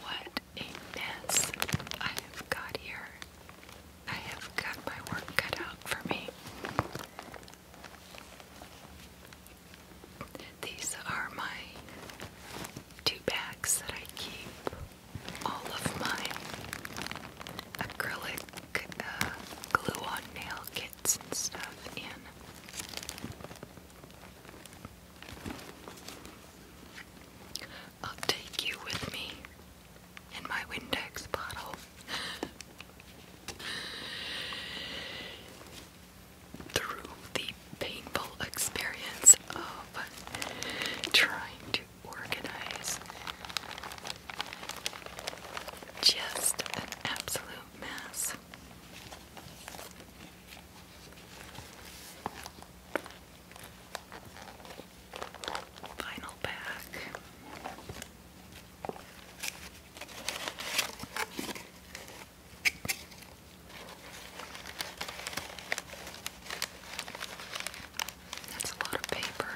What a mess I have got here. I have got my work cut out for me. These are my two bags that I keep all of my acrylic uh, glue on nail kits and stuff in. I'll take you with me in my Windex bottle. Through the painful experience of trying to organize just an absolute mess. Final pack. That's a lot of paper.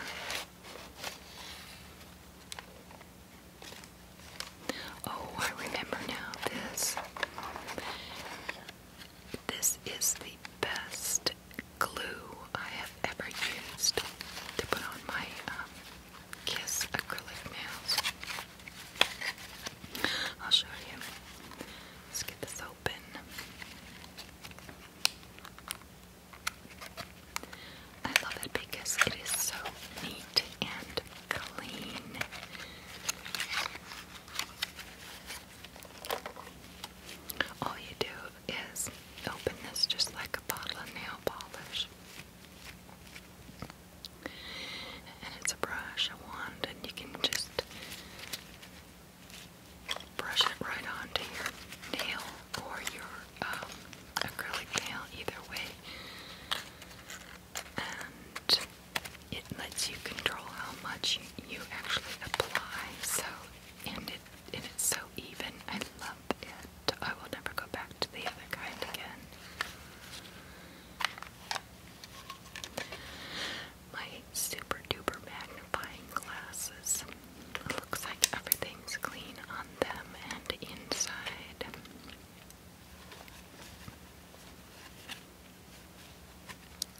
Oh, I remember now this. This is the best glue I have ever used to put on my um, Kiss acrylic nails. I'll show you. Let's get this open. I love it because it is so neat and clean. All you do is open this just like a bottle of nail polish. And it's a brush, a wand, and you can just brush it right onto your nail or your um, acrylic nail, either way, and it lets you control how much you actually apply. So, and it and it's so even. I love it. I will never go back to the other kind again my super duper magnifying glasses. It looks like everything's clean on them and inside.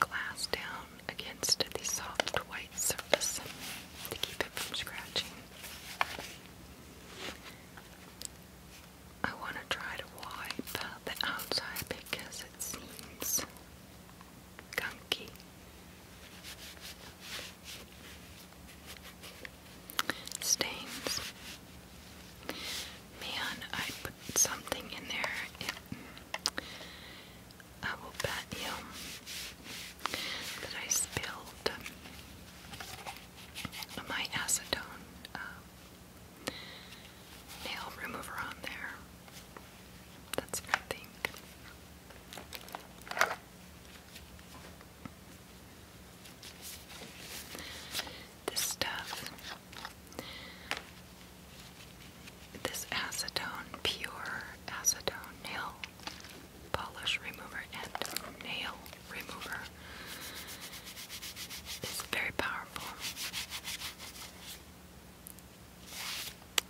Glass down against the soft white surface to keep it from scratching. I want to try to wipe the outside because it seems gunky. Stains. Man, I put something in there. I will bet you that I spilled um, my acetone uh, nail remover on there. That's what I think. This stuff, this acetone, pure acetone nail polish remover and nail remover is very powerful.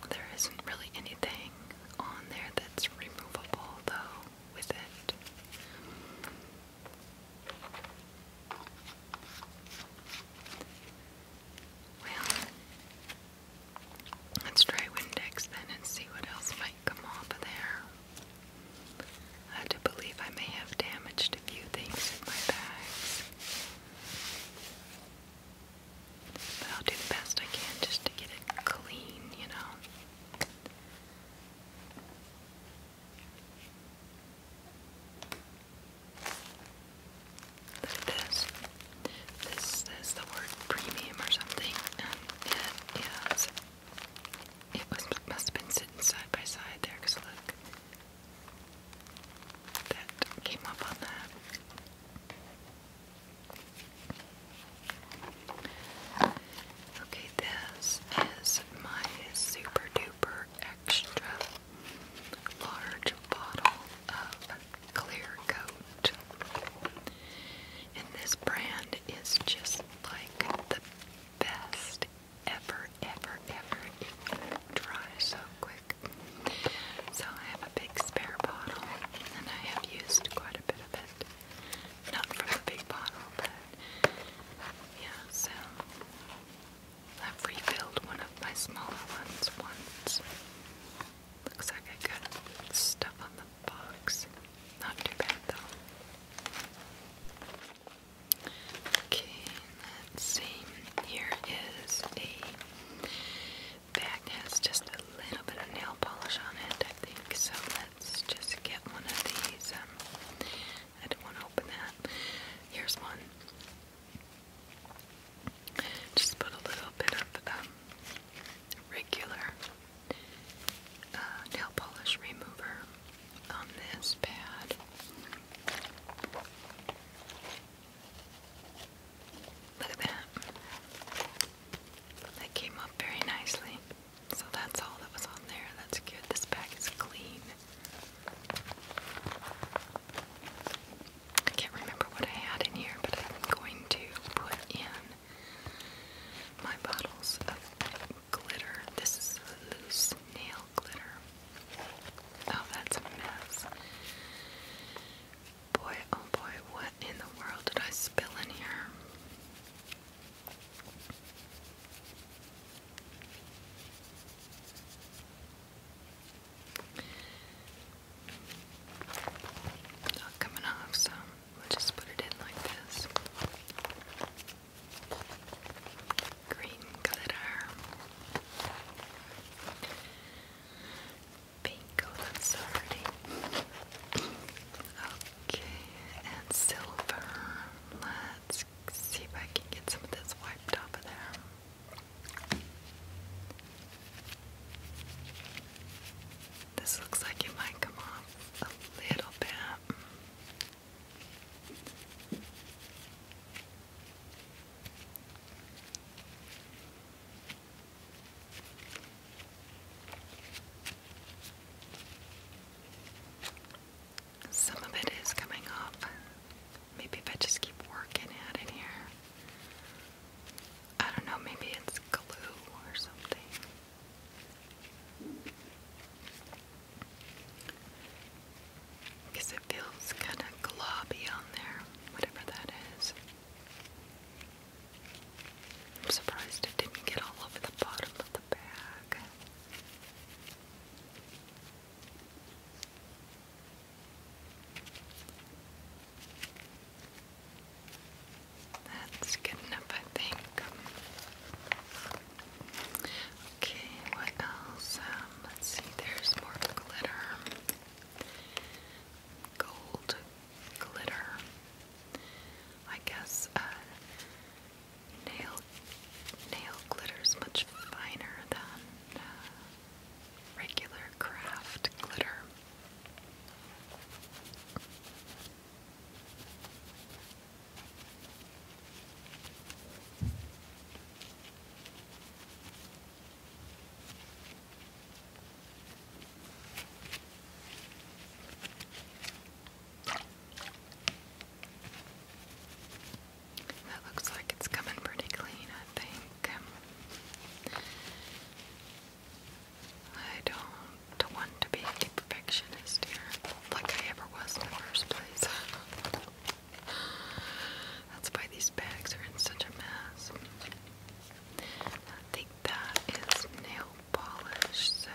There isn't really anything on there that's removable though with it. Well, let's try Windex then and see what else might come off of there. I had believe I may have damaged a few things in my bags. But I'll do the best I can just to get it clean, you know. Look at this. This is the word premium or something, um, and it is. It was, must have been sitting side by side there, because look, that came up on that. Okay, this is my super duper extra large bottle of clear coat. And this brand is just like the best ever, ever, ever. It dries so quick. So I have a big spare bottle, and I have used quite a bit of it. Not from the big bottle, but yeah, so I've refilled one of my smaller ones once. Looks like I got stuff on the box. Not too bad though. Okay, let Here is a bag has just a little bit of nail polish on it, I think. So let's just get one of these. Um, I don't want to open that. Here's one. Just put a little bit of um, regular uh, nail polish remover on this pad. Look at that. That came up very nicely. So that's all that was on there. That's good. This bag is clean. I can't remember what I had in here, but I'm going to put in my bottles of glitter. This is loose nail glitter. Oh, that's a mess. Boy, oh boy, what in the world did I spill in here? Not coming off, so just put it in like this. Green glitter. Bingo, oh, that's already. Okay, and silver. Let's see if I can get some of this wiped off of there. This looks like it might come off a little bit. Some of it is coming off. Maybe if I just keep working at it here. I don't know, maybe it's glue or something because it feels kind of gloppy on there, whatever that is. I'm surprised it didn't get all over the bottom of the bag. That's good enough, I think. Okay, what else? Um, let's see, there's more glitter gold glitter. I guess uh, nail nail glitter is much finer than uh, regular craft glitter. That looks like it's coming pretty clean, I think. I don't want to be perfectionist here, like I ever was in the first place. That's why these bags are in such a mess. I think that is nail polish, so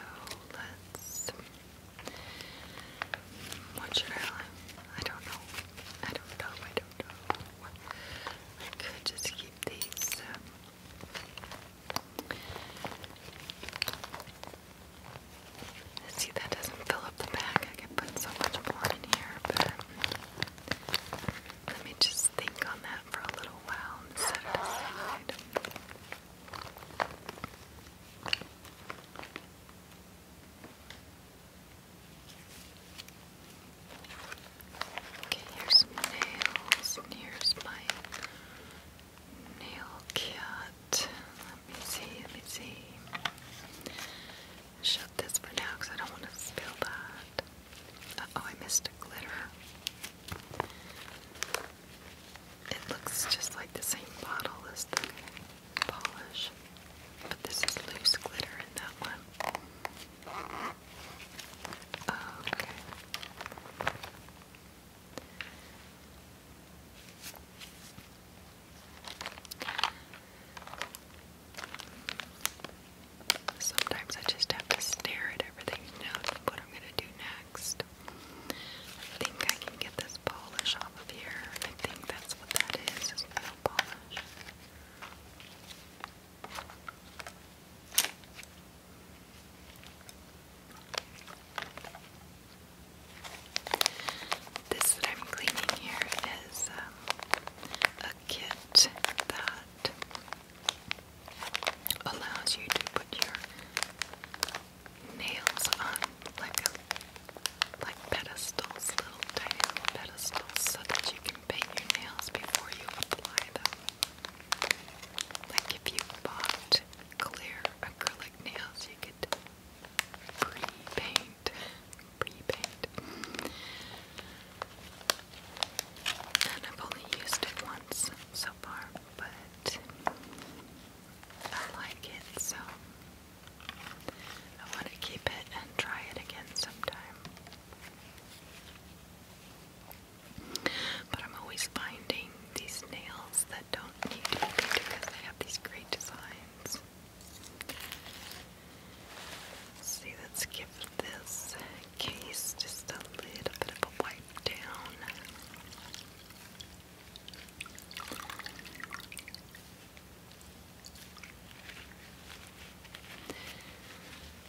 let's. What should I I don't know. I don't know. I don't know. I could just keep these. Um, see, that doesn't fill up the bag. I could put so much more in here, but let me just think on that for a little while and set it aside. Okay, here's some nails, here's my nail kit. Let me see, let me see shut this for now because I don't want to spill that. oh, I missed a glitter. It looks just like the same bottle as the polish, but this is loose glitter in that one. Okay. Sometimes I just have to stare at everything and what I'm gonna do next. I think I can get this polish off of here. I think that's what that is, is nail polish. This that I'm cleaning here is um, a kit that allows you to put your nails on like like pedestals, little tiny pedestals, so that you can paint your nails before you apply them. Like if you bought clear acrylic nails, you could pre-paint prepaid. And I've only used it once so far, but I like it, so I want to keep it and try it again sometime. But I'm always finding these nails that don't need to be because they have these great designs. See, let's give this case just a little bit of a wipe down.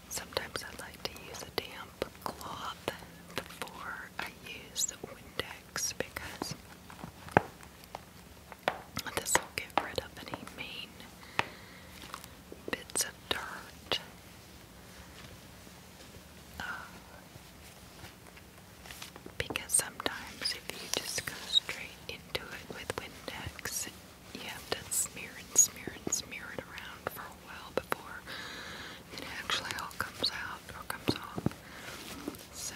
Sometimes I like to use a damp cloth before I use the Windex because this will get rid of any main bits of dirt. Um, because sometimes if you just go straight into it with Windex, you have to smear and smear and smear it around for a while before it actually all comes out or comes off. So,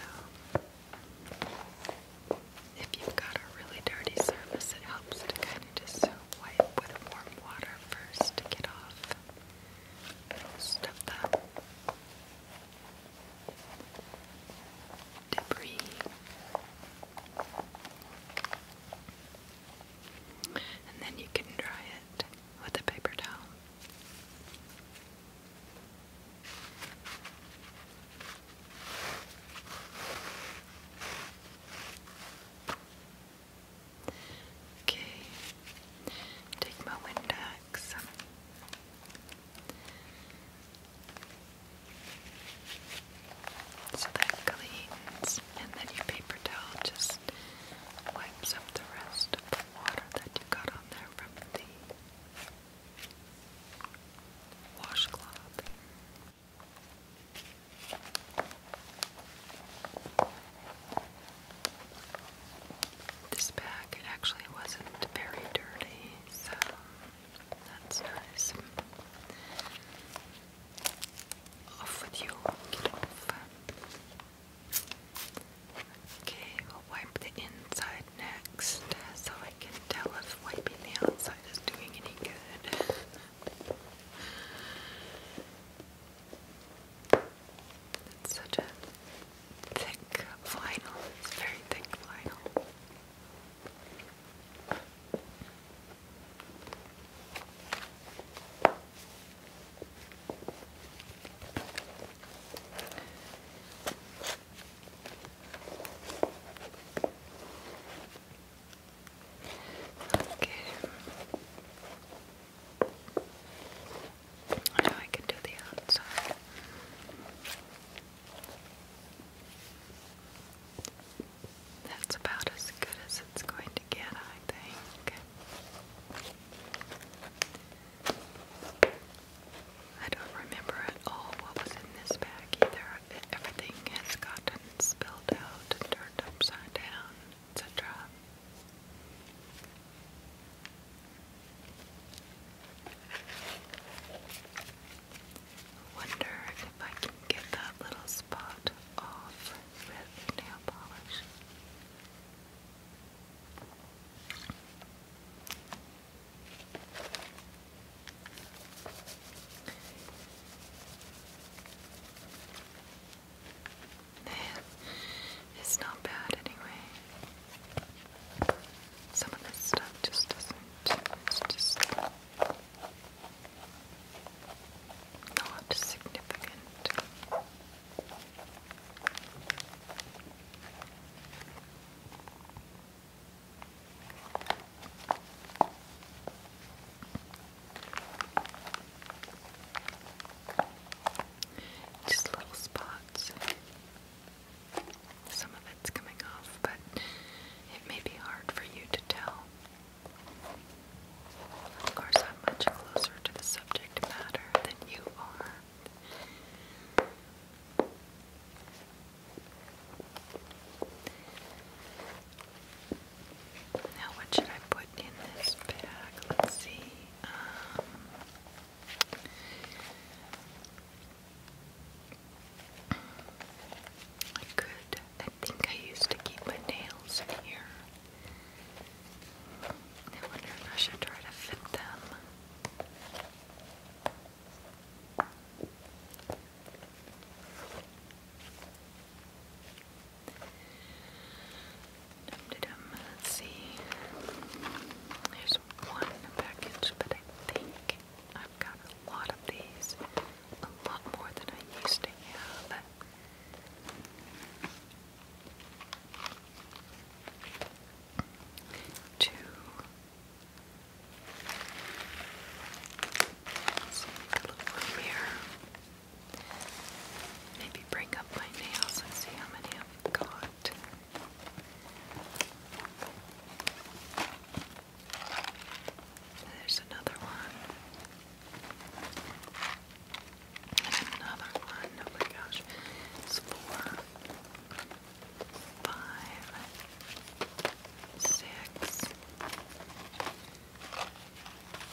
if you've got a really dirty surface, it helps to kind of just wipe with warm water first to get off most of debris. And then you can dry it with a paper towel. Okay, take my Windex. So that cleans, and then your paper towel just wipes up the rest of the water that you got on there from the washcloth. This bag actually wasn't very dirty, so that's nice. Off with you, get off. Okay, we'll wipe the inside next so I can tell if wiping the outside is doing any good. It's such a thick vinyl, very thick vinyl. Okay. Now I can do the outside. That's about as good as it's going to get, I think. I don't remember at all what was in this bag either. Everything has got spilled out and turned upside down, etc. Wonder if I can get that little spot off with nail polish. It's not bad anyway. Some of this stuff just doesn't. It's just not significant. Just little spots. Some of it's coming off, but it may be hard for you to tell. Of course, I'm much closer to the subject matter than you are. Now, what should I put in this bag? Let's see. Um, I could, I think I used to keep my nails in here. I wonder if I should try to fit them. Dum -de Let's see. There's one package, but I think I've got a lot of these. A lot more than I used to have. Two Let's here. Maybe bring up my nails and see how many I've got. There's another one. another one. Oh my gosh. four, five, six,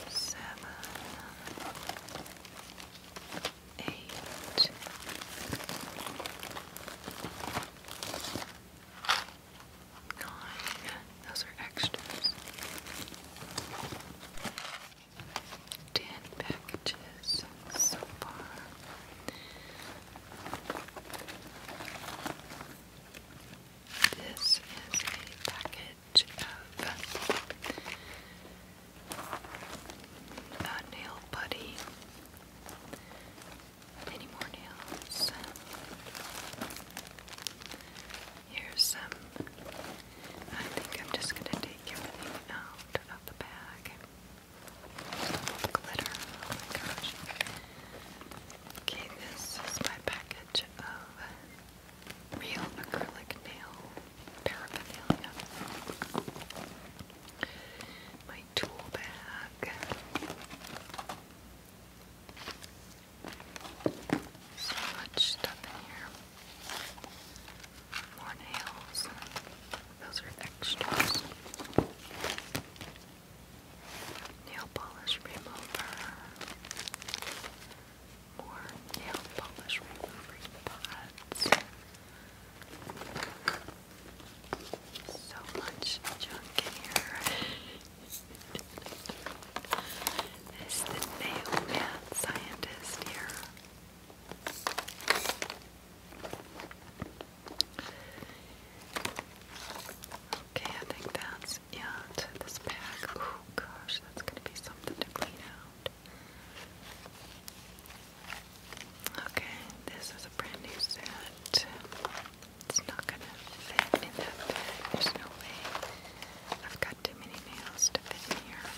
seven, eight, nine. Those are extras. Ten packages so far. This is a package of a uh, nail buddy. Any more nails? Here's some. I think I'm just gonna take everything out of the bag. glitter. Oh my gosh. Okay, this is my package of real acrylic nail paraphernalia. My tool bag. So much stuff in here. More nails. Those are extras nail polish remover, more nail polish removing pods. So much junk in here. Is the nail man scientist here? Okay, I think that's this and this bag. Oh gosh, that's gonna be something to clean out. Okay, this is a brand new set. It's not gonna fit in that bag. There's no way. I've got too many nails to fit in here.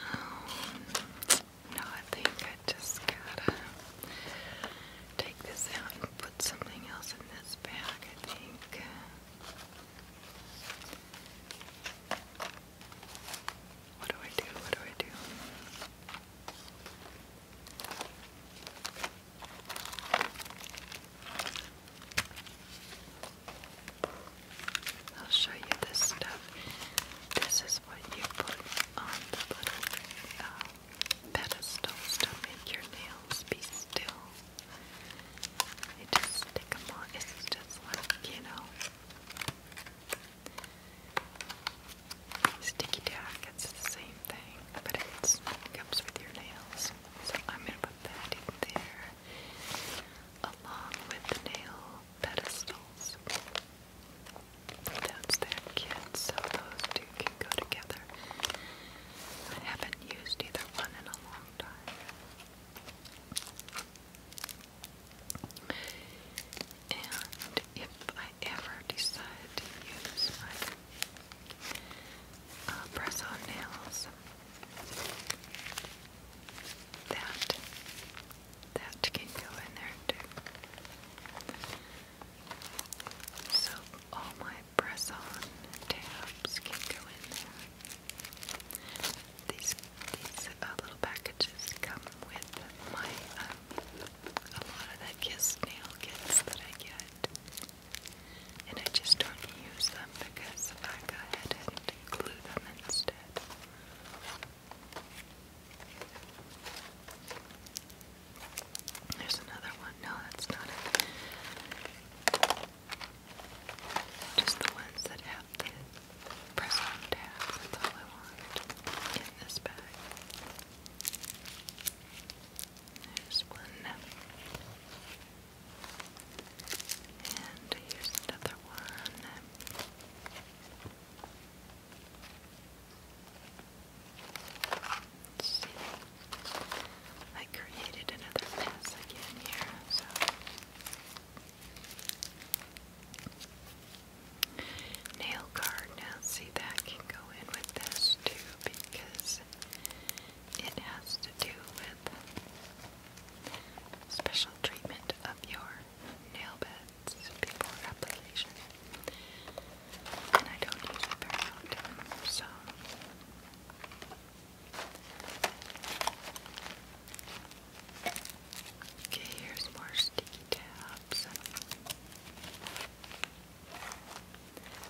Um, no, I think I just gotta take this out and put something else in this bag, I think. What do I do? What do I do? I'll show you this stuff. This is what you put on the little uh, pedestals to make your nails be still. You just stick them on. It's just like, you know, sticky tack. It's the same thing, but it comes with your nails. So I'm going to put that in there along with the nail pedestals. That's their kids, so those two can go together. I haven't used either one in a long time. And if I ever decide to use my uh, press on nails, that that can go in there too. So all my press on tabs can go in there. These uh, little packages come with my um, a lot of the kiss nail kits that I get, and I just don't use them because I go ahead and glue them instead. There's another one. No, that's not it. Just the ones that have the press That's all I want in this bag. There's one. And here's another one see. I created another mess again here, so nail card. Now see that can go in with this too because it has to do with special treatment of your nail beds before application. And I don't use it very often, so. Okay, here's more sticky tabs.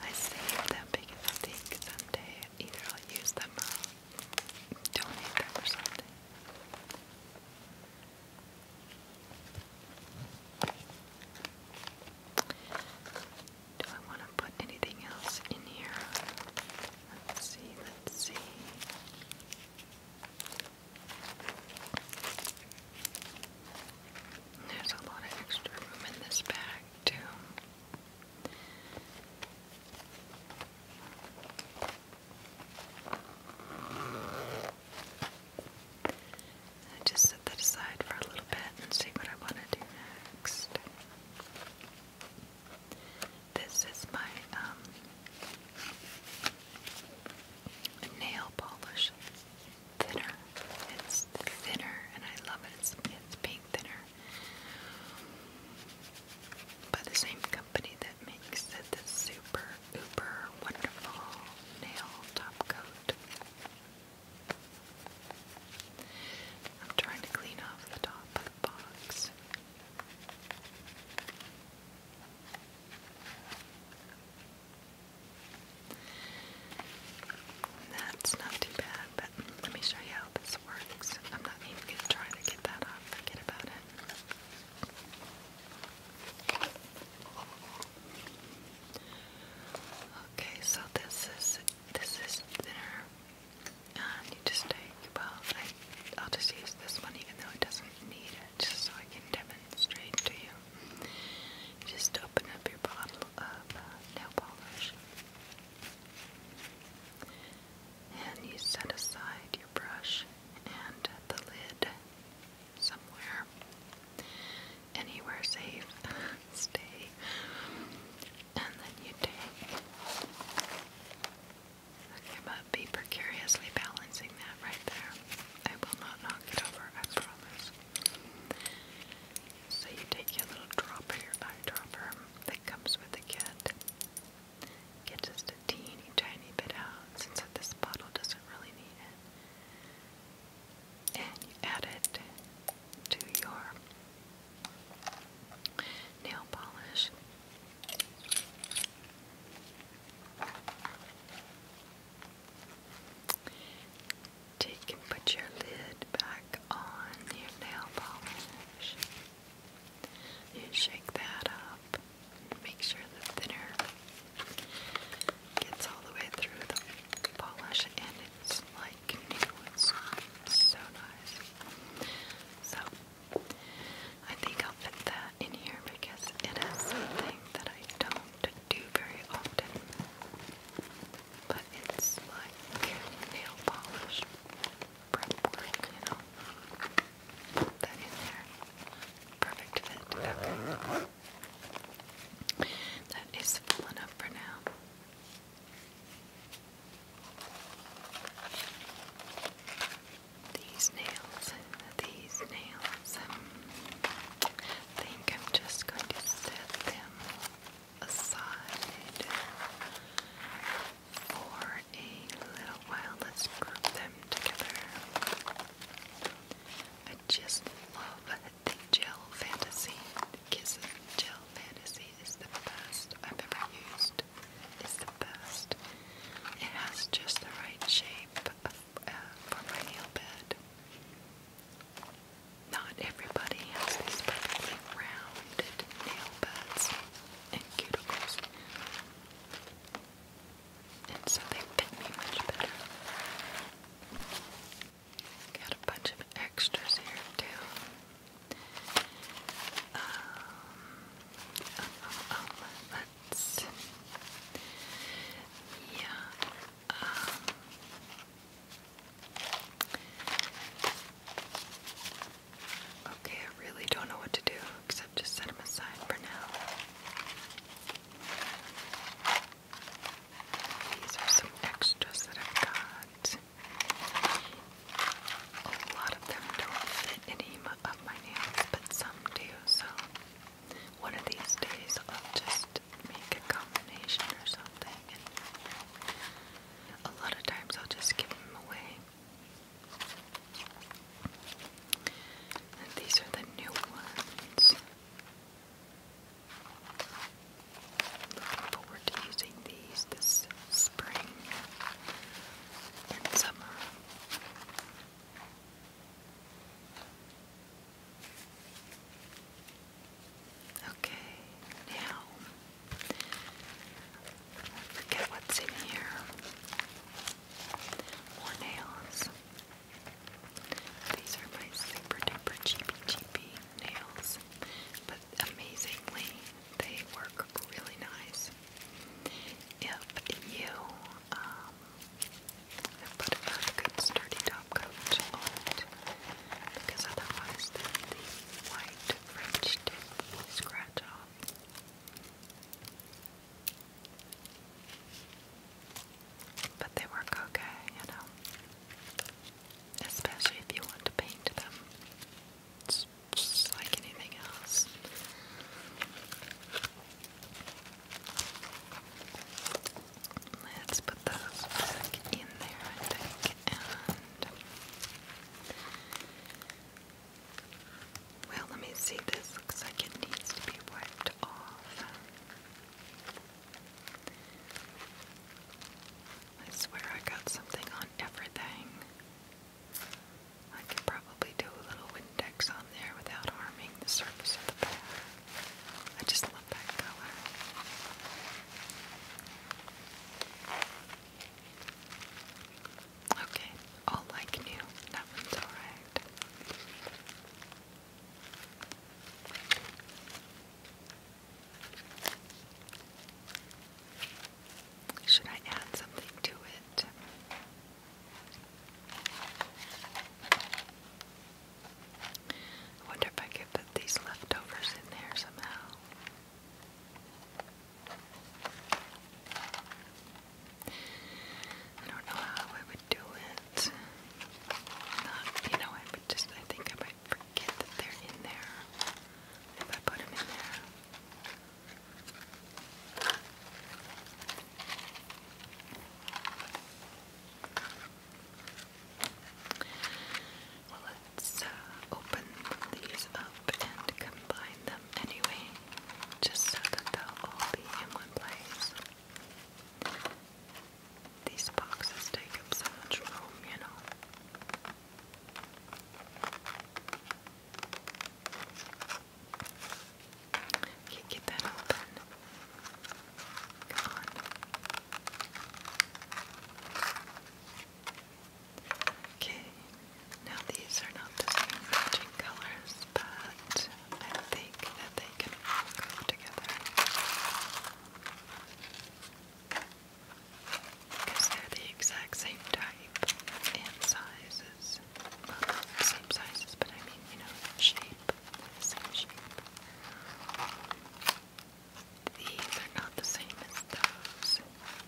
I saved them because I think someday either I'll use them or donate them or something. Do I want to put anything else in here? Let's see, let's see. There's a lot of extra room in this bag, too. I just set that aside for a little bit and see what I want to do next. This is my um, nail polish thinner. It's thinner and I love it. It's, it's pink thinner. By the same company that makes it, the super Uber Wonderful Nail Top Coat. I'm trying to clean off the top of the box. That's not too bad, but let me show you how this works. I'm not even going to get that off. Forget about it. Okay, so this is this is thinner, you just take well, I, I'll just use this one even though it doesn't need it, just so I can demonstrate to you. just open up your bottle of uh, nail polish, and you set aside your brush and the lid somewhere, anywhere safe, stay, and then you take. Okay, but be precariously balancing that right there. I will not knock it over, I promise. So you take your little dropper, your eyedropper that comes with the kit. Get just a teeny tiny bit out since this bottle doesn't really need it and you add it to your nail polish. Take and put your lid back on your nail polish. You shake that up. Make sure the thinner gets all the way through the polish and it's like new. It's so nice. So I think I'll fit that in here because it is something that I don't do very often. But it's like nail polish prep work, you know. that in there. Perfect fit. Okay. That is full enough for now. These nails, these nails. I think I'm just going to set them aside for a little while. Let's group them together. I just love the gel fantasy. The Gel Fantasy is the best I've ever used. It's the best. It has just the right shape uh, for my nail bed. Not everybody has these perfectly rounded nail beds and cuticles and so they fit me much better. Got a bunch of extras here too. Um, uh, uh, uh, let's. Yeah. Um, okay, I really don't know what to do except just set them aside for now. These are some extras that I've got. A lot of them don't fit any of my nails, but some do, so one of these days I'll just make a combination or something. a lot of times I'll just give them away. these are the new ones. Looking forward to using these this spring and summer. Okay, now I forget what's in here. More nails. These are my super duper cheapy cheapy nails, but amazingly, they work really nice. If you um, put a good sturdy top coat because otherwise, the white French tip will scratch off. But they work okay, you know. Especially if you want to paint them. It's just like anything else. Let's put those back in there, I think, and well, let me see. This looks like it needs to be wiped off. I swear I got something on everything. I can probably do a little Windex on there without harming the surface of the paper. I just love that color. Okay, all like new. That one's alright. Should I add something to it? I wonder if I could put these leftovers in there somehow. I don't know how I would do that. you know, I would just, I think I might forget that they're in there if I put them in there. Well, let's uh, open these up and combine them anyway, just so that they'll all be in one place. These boxes take up so much room, you know. Can't get that open. Come on. Okay, now these are not the same colors but I think that they can all go together because they're the exact same type and sizes. same sizes, but I mean, you know, shape. same shape. These are not the same as those,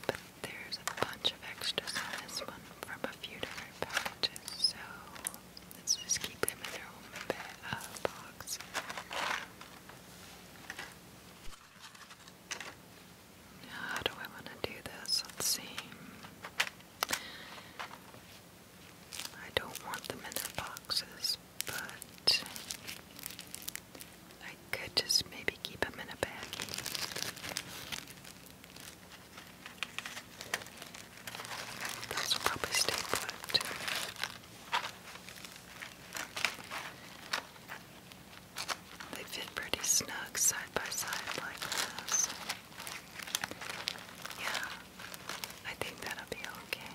but there's a bunch of extras this one from a few different packages, so Let's just keep them in their own little uh, box. How do I want to do this? Let's see. I don't want them in their boxes, but I could just maybe keep them in a baggie. Those will probably stay put. They fit pretty snug side by side like this. Yeah, I think that'll be okay.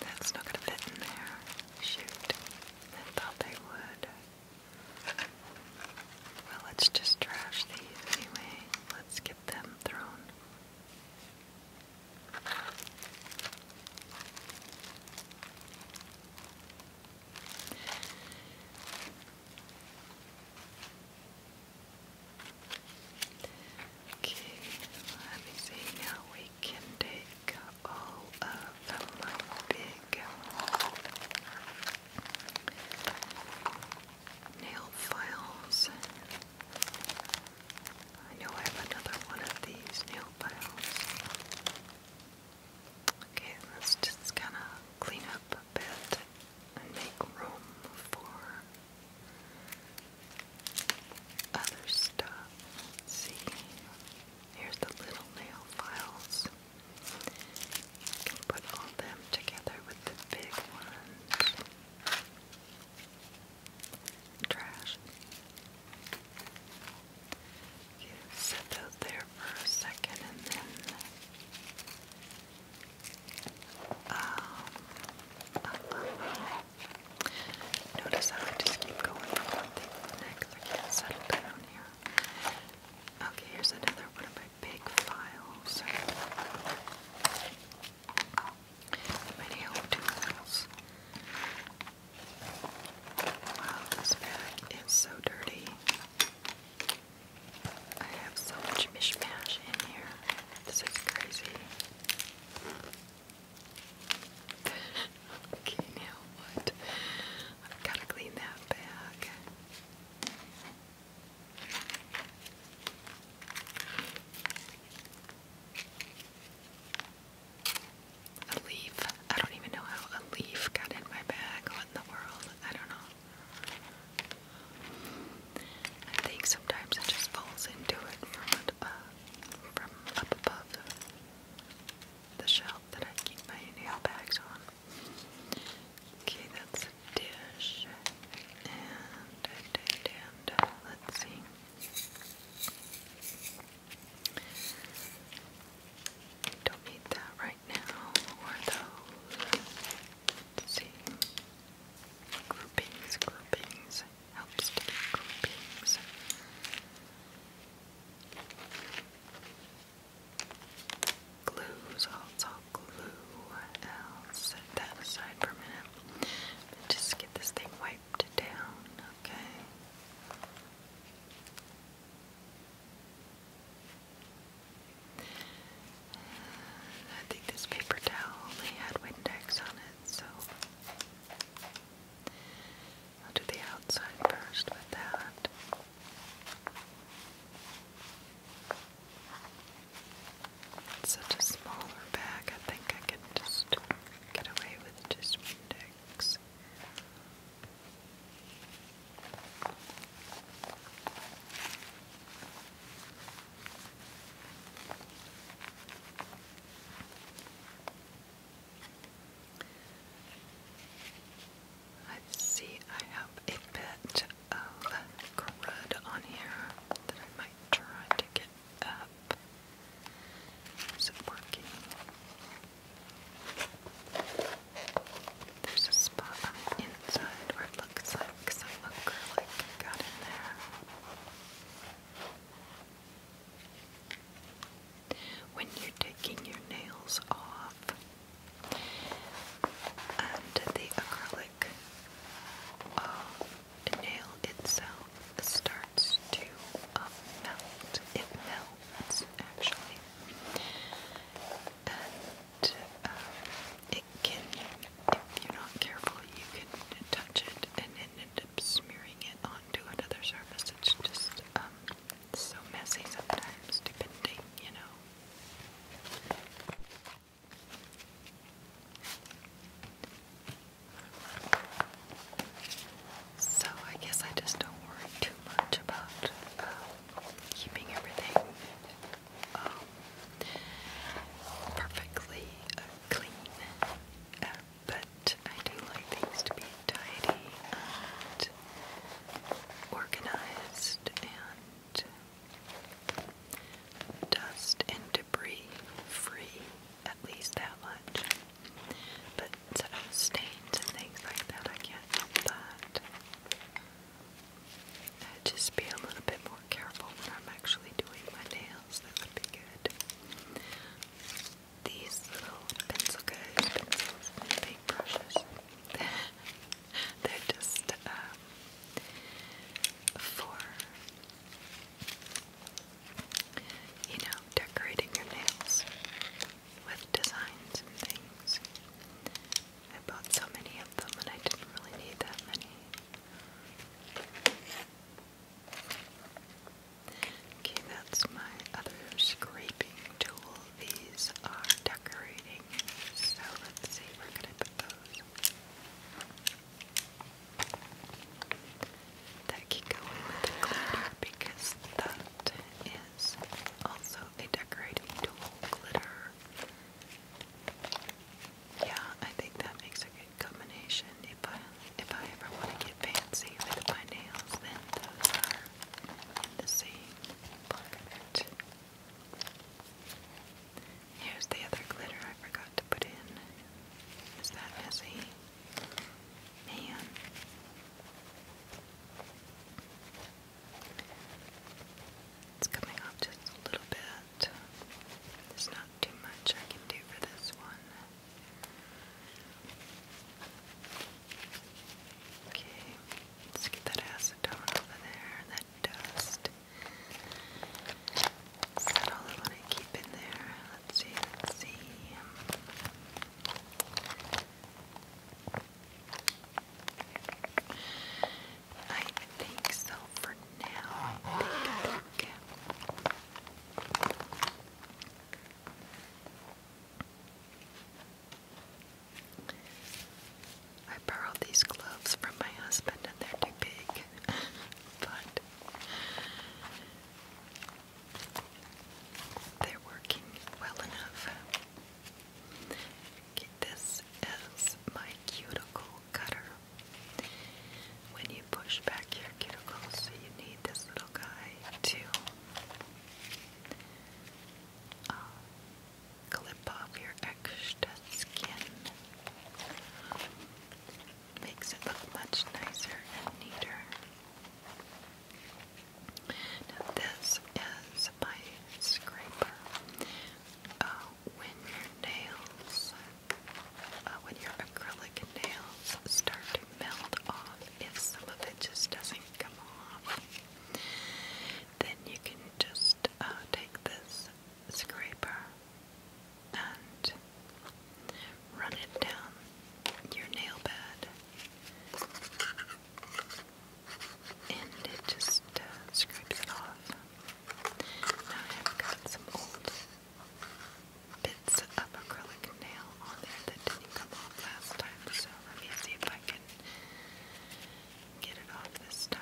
That's not going to fit in there. Shoot. I thought they would. Well, let's just trash these anyway. Let's get them thrown. Okay, let me see now. We can take all of my big nail files. I know I have another one of these nail files. Okay, let's just kind of clean up a bit and make room for other stuff. see. Here's the little nail files. You can put all them together with the big ones. Trash. You set those there for a second and then um, uh, uh, uh. notice how I just keep going from one thing to the next. I can't settle down here. Okay, here's another one of my big files. Many home tools. Wow, this bag is so dirty. I have so much mishmash in here. This is crazy okay, now what? I've got to clean that bag. A leaf. I don't even know how a leaf got in my bag. What in the world? I don't know. I think sometimes it just falls into it from uh, up above the shelf that I keep my nail bags on. Okay, that's a dish. And, and, let's see. Don't need that right now, or those. see. Groupings, groupings. Helps to get groupings. Glue's also glue. I'll set that aside for a minute. just get this thing wiped down, okay? I think this paper towel only had Windex on it, so I'll do the outside first with that. such a smaller bag, I think I can just get away with just index. Let's see, I have a bit of crud on here that I might try to get up. Is it working? There's a spot inside where it looks like some acrylic got in there when you're taking your nails off. And the acrylic um, nail itself starts to um, melt. It melts actually. And um, it can, if you're not careful, you can touch it and end up smearing it onto another surface. It's just it's so messy sometimes, stupid thing, you know. So I guess I just don't worry too much about um, keeping everything um, perfectly uh, clean, uh, but I do like things to be tidy and organized and dust and debris free, at least that much. But so stains and things like that, I can't help that. i just be a little bit more careful when I'm actually doing my nails, that would be good these little pencil goes, pencils, paintbrushes. They're just um, for you know decorating your nails with designs and things. I bought so many of them, and I didn't really need that many. Okay, that's my other scraping tool these are decorating. So let's see, where can I put those? That can go in glitter because that is also a decorating tool glitter. Yeah, I think that makes a good combination. If I if I ever want to get fancy with my nails, then the same planet. Here's the other glitter I forgot to put in. Is that messy? Man. It's coming off just a little bit. There's not too much I can do for this one. Okay, let's get that acetone over there, that dust. Is that I keep in there? Let's see, let's see. I think so for now. I borrowed these gloves from my husband and they're too big. but they're working well enough. Okay, this is my cuticle cutter. When you push back your cuticles, you need this little guy to clip off your extra skin. Makes it look much nicer and neater. this is my scraper. Uh, when your nails, uh, when your acrylic nails start to melt off, if some of it just doesn't come off, then you can just uh, take this scraper and run it down your nail bed, and it just uh, scrapes it off. Now I've got some old bits of acrylic nail on there that didn't come off last time, so let me see if I can get it off this time.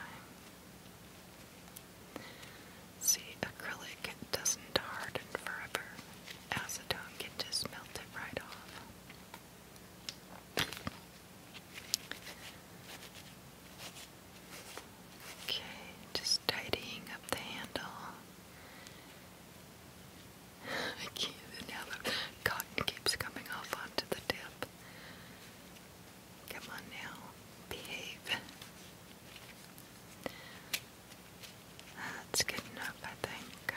See, acrylic doesn't harden forever. Acetone can just melt it right off. Okay, just tidying up the handle. I can't the cotton keeps coming off onto the tip. Come on now. Behave. That's good enough, I think.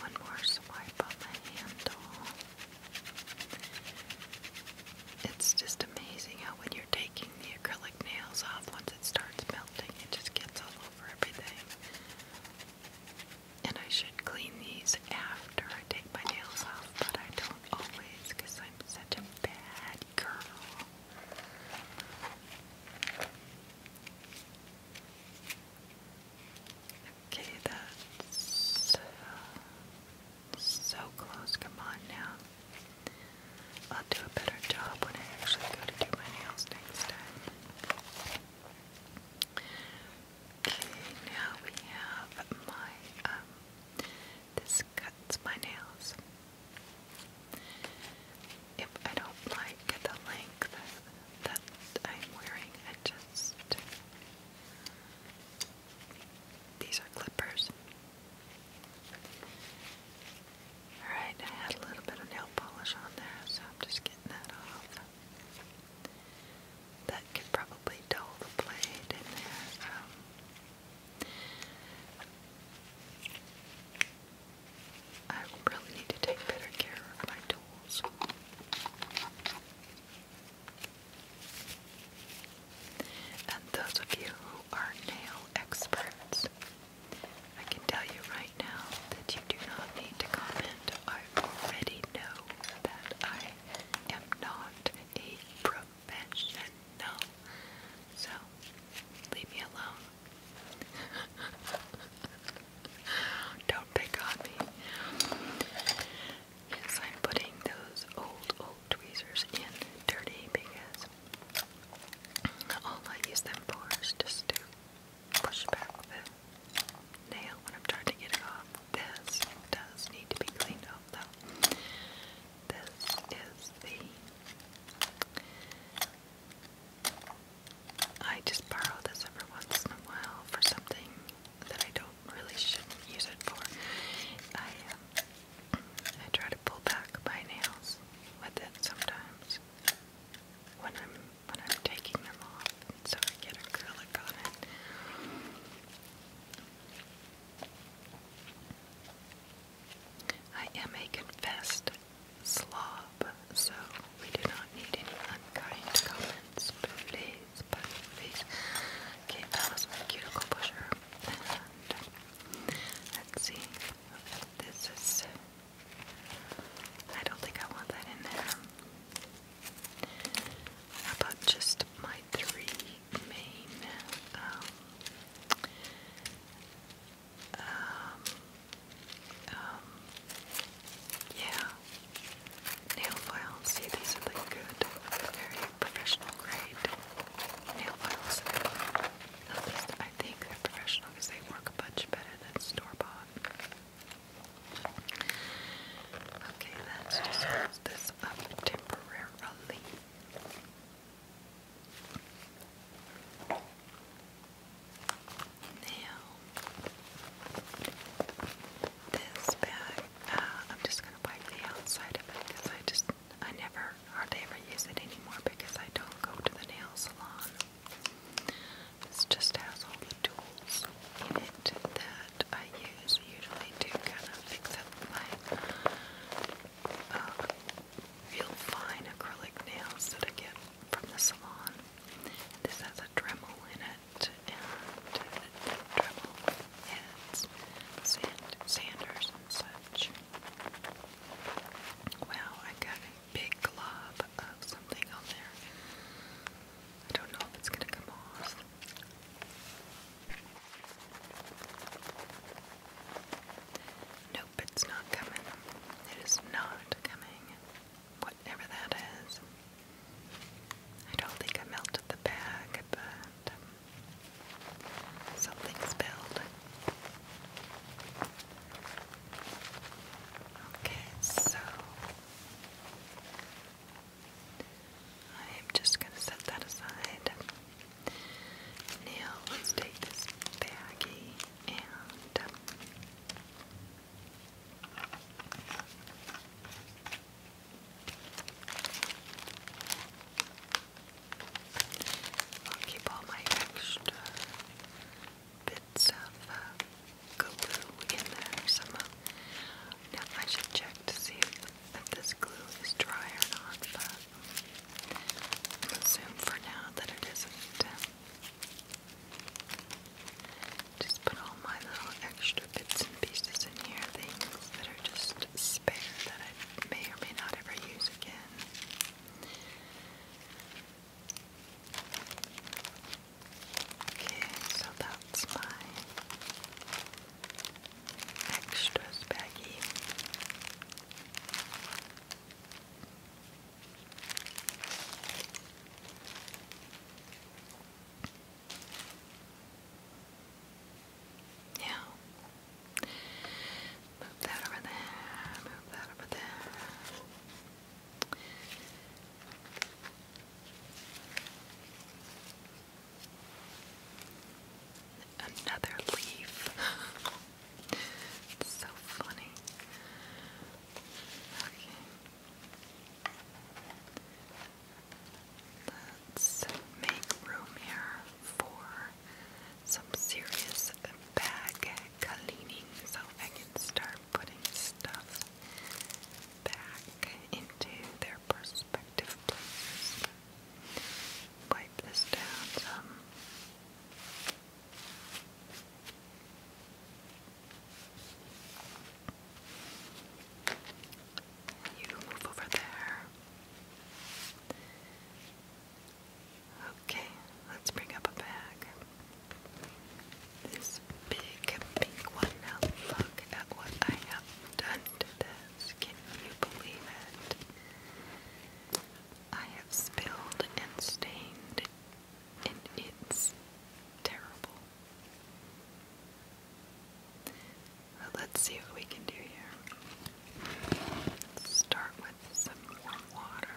one more swipe on the handle. It's just amazing how when you're taking the acrylic nails off once it starts melting. It just gets all over everything. And I should clean these after I take my nails off, but I don't always because I'm such a bad girl. Okay, that's so close. Come on now. I'll do a better job when I actually go to do my nails next time. Okay, now we have my, um, this cuts my nails. If I don't like the length that I'm wearing, I just. These are clippers. Alright, I had a little bit of nail polish on there, so I'm just getting that off. That could probably dull the blade in there. Um, I really need to take better care of my tools. And those of you who are nail experts, I can tell you right now that you do not need to comment. I already know that I am not a professional. So, leave me alone. Don't pick on me. Yes, I'm putting those old, old tweezers in dirty because all I use them for is just to push back the nail when I'm trying to get it off. This does need to be cleaned off though. This is the. I just borrow this every once in a while for something that I don't really shouldn't use it for. I um, I try to pull back my nails with it sometimes when I'm when I'm taking them off, so get acrylic on it. I am a confessed slob, so we do not need any unkind comments, please, please. Okay, that was my cuticle pusher. let's see. This is. I don't think I want that in there. about just my three main um, um, um, yeah, nail files. See, these are like good, very professional grade nail files. I think they're professional because they work a bunch better than store bought. Okay, let's close this up temporarily. Now, this bag, uh, I'm just going to wipe the outside of it because I just I never hardly ever use it anymore because I don't go to the nail salon. This just has all the tools in it that I use usually to kind of fix up my uh, real fine acrylic nails that I get from the salon. This has a Dremel in it, and uh, Dremel heads, sand, sanders, and such. Wow, I got a big glob of something on there. I don't know if it's going to come off. Nope, it's not coming. It is not coming. Whatever that is. I don't think I melted the bag, but um, something spilled. Okay, so I'm just going to set that aside. Now let's take this baggie and um, I'll keep all my extra bits of uh, glue in there. Some uh, I should check to see if, this glue is dry or not, but I'll assume for now that it isn't. Just put all my little extra bits and pieces in here, things that are just spare that I may or may not ever use again. Okay, so that's my extras baggie. Yeah, Move that over there. Move that over there. Another leaf. so funny. Okay. Let's make room here for some serious bag cleaning so I can start putting stuff back into their perspective places. Wipe this down You move over there. Okay, let's bring up a bag. This big pink one. Now look at what I have done Can you believe it? I have spilled and stained, and it's terrible. let's see what we can do here. start with some warm water.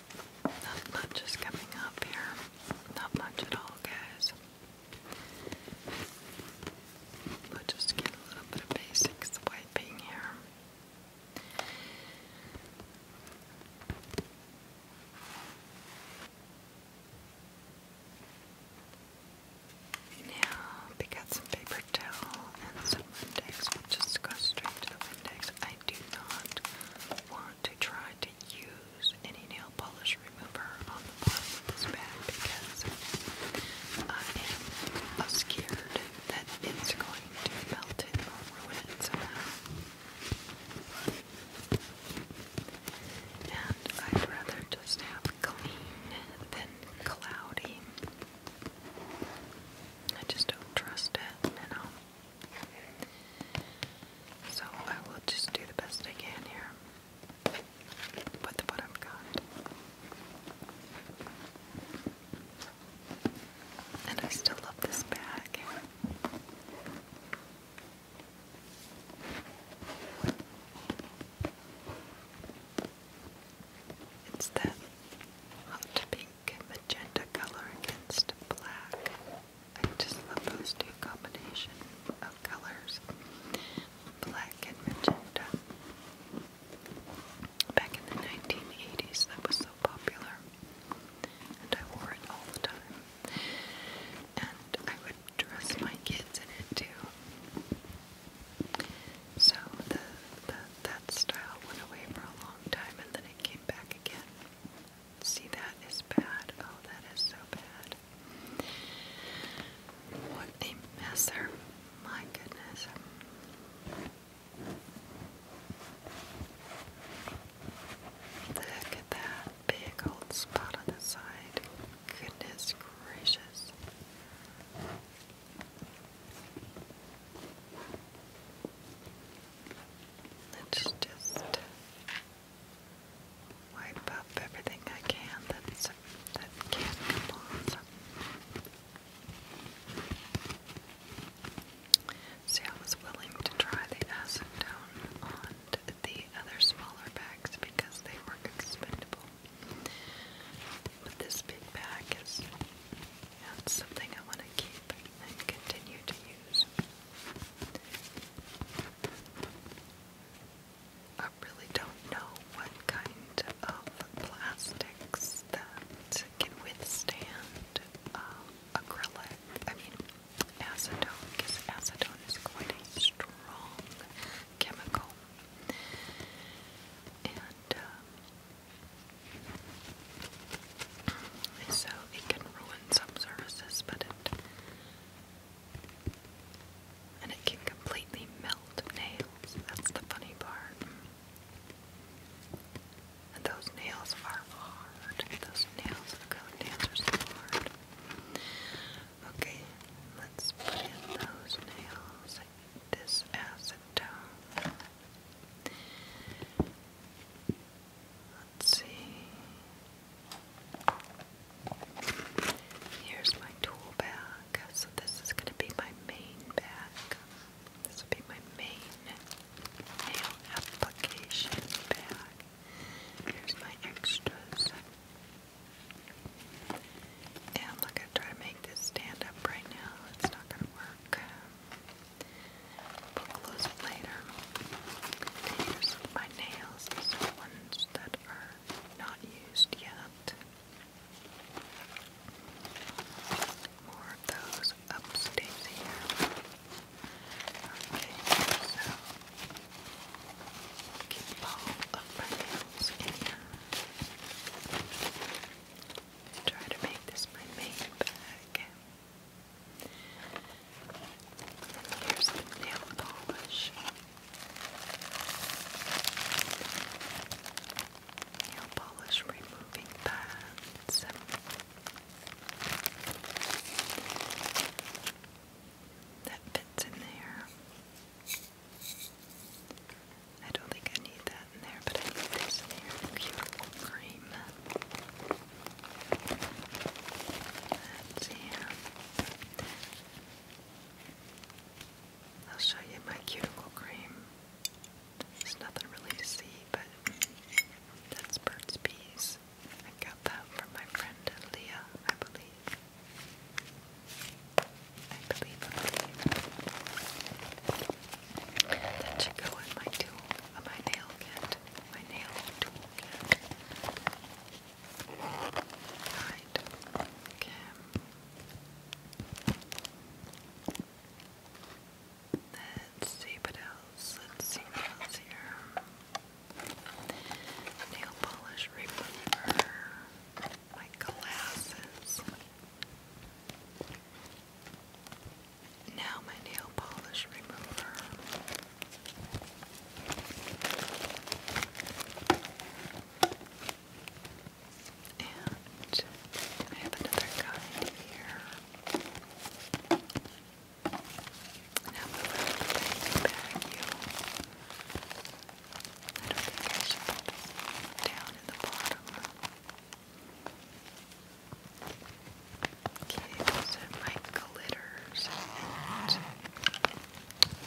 Not much is coming up here. Not much at all, guys. We'll just get a little bit of basics wiping here. Now, pick out some paper towel and some Windex. We'll just go straight to Windex. I do not want to try to use any nail polish remover on the bottom of this bag because I am scared that it's going to melt it or ruin it somehow. And I'd rather just have clean than cloudy. I just don't trust it, you know. So I will just do the best I can here with what I've And I still love this bag. It's that hot pink pink magenta color against black. I just love those two combination of colors, black and magenta. Back in the 1980s, that was so popular, and I wore it all the time. And I would dress my kids in it too. So the that style went away for a long time, and then it came back again. See, that is bad. Oh, that is so bad. What a messer. My goodness. Look at that big old spot on the side. Goodness gracious. Let's just wipe up everything I can that's, that can come off. See, I was willing to try the acetone on the other smaller bags because they were expendable. But this big bag is something I want to keep and continue to I really don't know what kind of plastics that can withstand uh, acrylic. I mean, acetone, because acetone is quite a strong chemical. And um, so it can ruin some services, but it and it can completely melt nails. That's the funny part. And those nails are hard. Those nails of acrylic nails are hard. Okay, let's put in those nails. This acetone. Let's see. Here's my tool bag. So this is going to be my main bag. This will be my main nail application bag. Here's my extras. And look, I try to make this stand up right now. It's not going to work. But those later. my nails. These are ones that are not used yet. More of those upstairs here. Okay, so keep all of my nails in here. Try to make this my main bag. And here's the nail polish. Nail polish removing pads. That fits in there. I don't think I need that in there, but I need this in here. Cuticle cream let I'll show you my cuticle cream. There's nothing really to see, but that's Burt's Bees. I got that from my friend Leah, I believe. I believe, I believe. go in my tool, uh, my nail kit my nail toolkit. Right. Okay. Let's see what else. Let's see what else here. Nail polish remover. My glasses. Now my nail polish remover. And I have another kind here. Now we'll have to vacuum. I don't down in the bottom. Okay, those my glitters and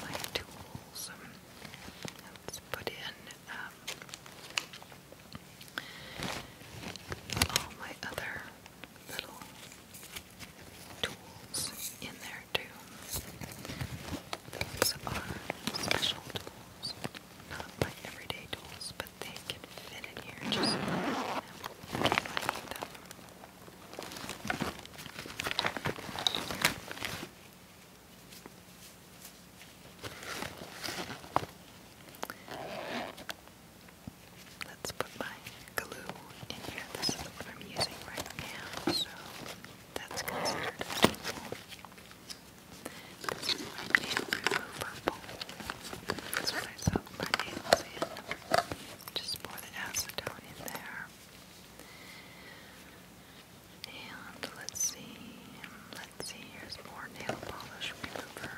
my tools. Um, let's put in um, all my other little tools in there too. Those are special tools, not my everyday tools but they can fit in here Let's put my glue in here. This is the I'm using right now, so that's considered this is my bowl. That's what I just pour the acetone in there. And let's see, let's see, here's more nail polish remover.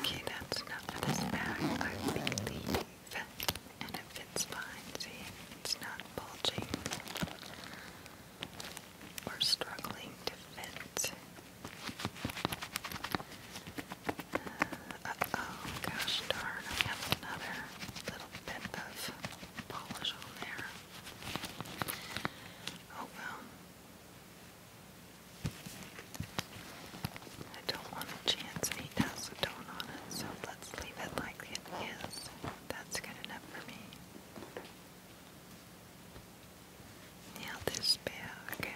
Okay, that's enough for this bag, I believe. And it fits fine, see? It's not bulging. We're struggling to fit. oh, gosh darn, I have another little bit of polish on there. Oh well. I don't want a chance any acetone on it, so let's leave it like it is. That's good enough for me. Now this bag,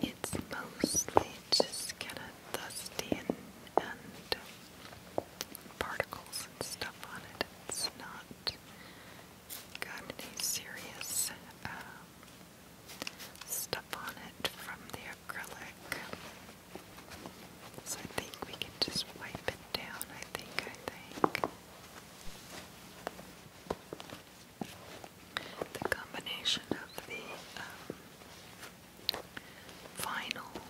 it's mostly just kind of dusty and, particles and stuff on it. It's not got any serious um, stuff on it from the acrylic. So I think we can just wipe it down, I think, I think. The combination of the vinyl um,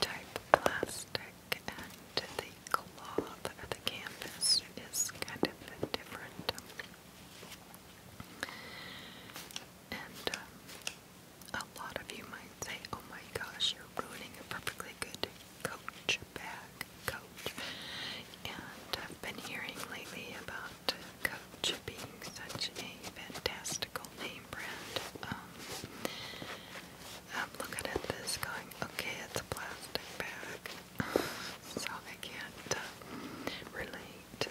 type plastic and the cloth or the canvas is kind of different. And um, a lot of you might say, oh my gosh, you're ruining a perfectly good coach bag, coach. And I've been hearing lately about coach being such a fantastical name brand. Um, I'm looking at this going, okay, it's a plastic bag, so I can't uh, relate to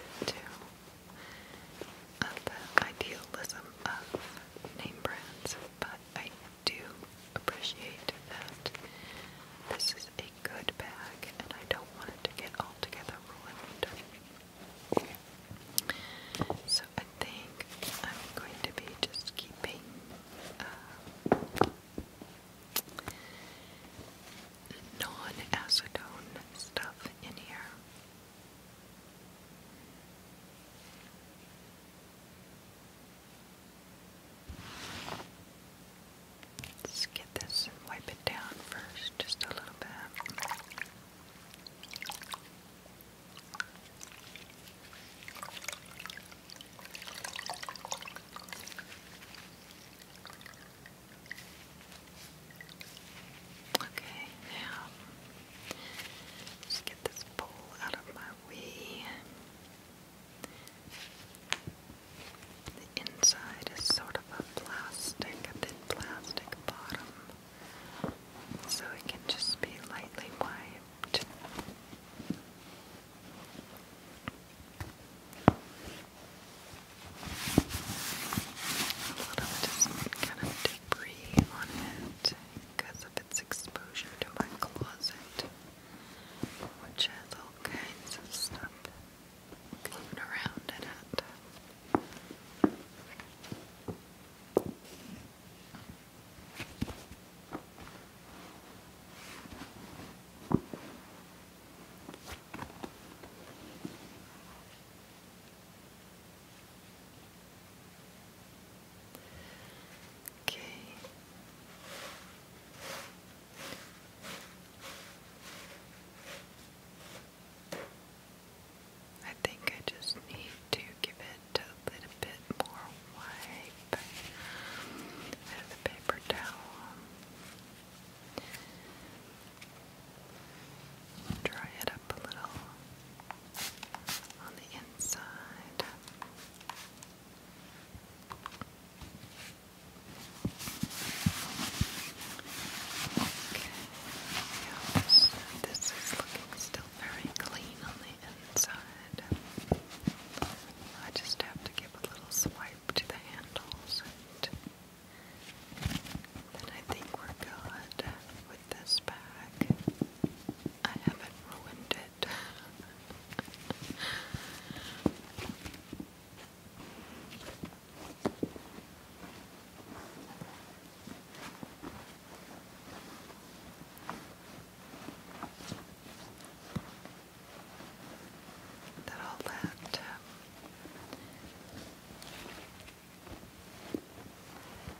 of the idealism of name brands, but I do appreciate that this is a good bag and I don't want it to get altogether ruined. So I think I'm going to be just keeping uh, non acetone stuff in here. Let's get this wipe it down first, just a little bit. Okay, now just get this bowl out of my way. The inside is sort of a plastic, a thin plastic bottom, so it can just be lightly wiped. A lot of debris on it because of its exposure to my closet, which has all kinds of stuff going around in it. Okay. I think I just need to give it a little bit more wipe out of paper towel. Dry it up a little on the inside. Okay, yes, this is looking still very clean on the inside. I just have to give a little swipe to the handles, and then I think we're good with this bag. I haven't ruined it. that all that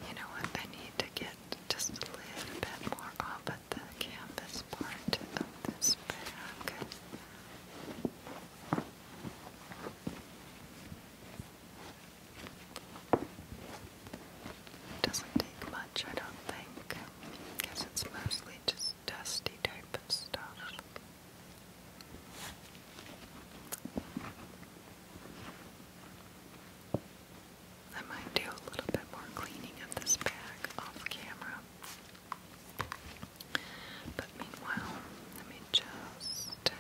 you know what? I need to get just a little bit more off at the canvas part of this bag. Doesn't take much, I don't think. Because it's mostly just dusty type of stuff. I might do a little bit more cleaning of this bag off camera. But meanwhile, let me just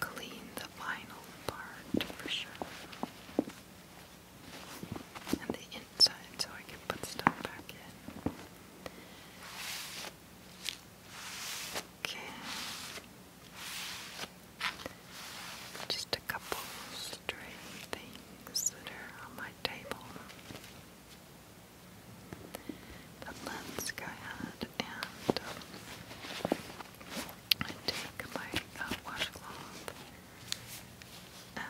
clean the vinyl part for sure. And the inside so I can put stuff back in. Okay. Just a couple stray things that are on my table. let's go ahead and um, take my uh, washcloth and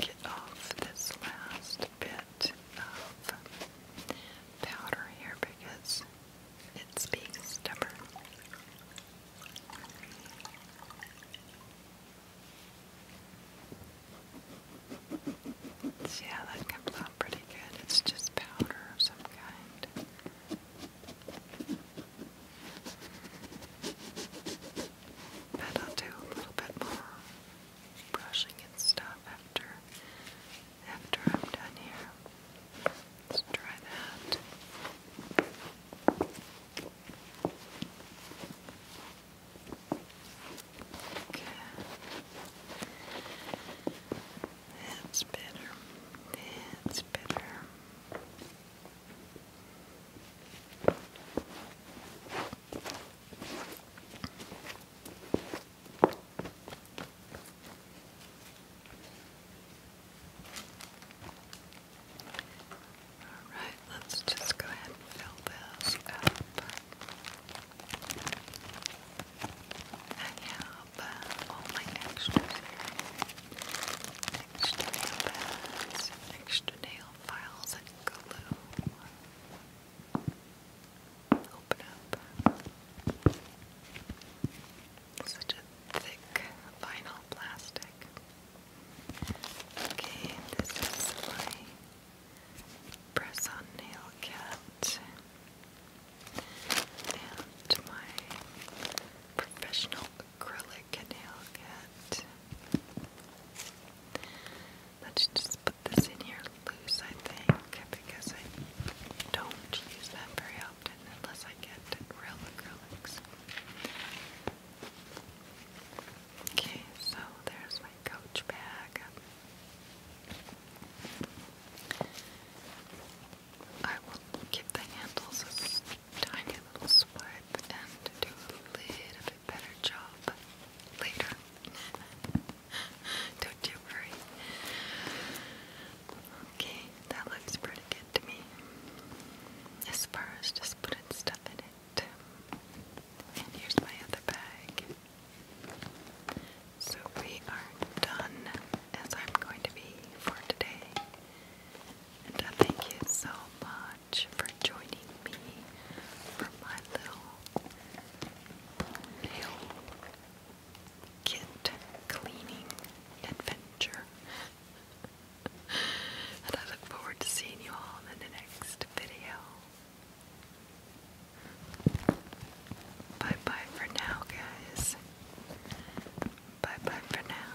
get off this last bit of powder here because it's being stubborn. See how that comes out pretty good. It's just powder of some kind. But do a little bit more brushing and stuff after after I'm done here. Let's try that. Okay. That's better. That's better. Alright, let's just go ahead and fill this up. I have uh, Extra nail extra nail files, and glue open up. Such a thick vinyl plastic. Okay, this is my press on nail cat and my professional acrylic nail cat. Let's just put this in here loose, I think, because I don't use that very often unless I get real acrylics. Okay, so there's my coach bag. I will give the handles a tiny little swipe and do a little bit better job later. Don't you worry. Okay, that looks pretty good to me. As far just putting stuff in it. And here's my other bag. So we are done as I'm going to be for today. And thank you so much for joining me for my little nail kit cleaning adventure. and I look forward to seeing you all in the next video. Bye bye for now, guys. Bye bye for now.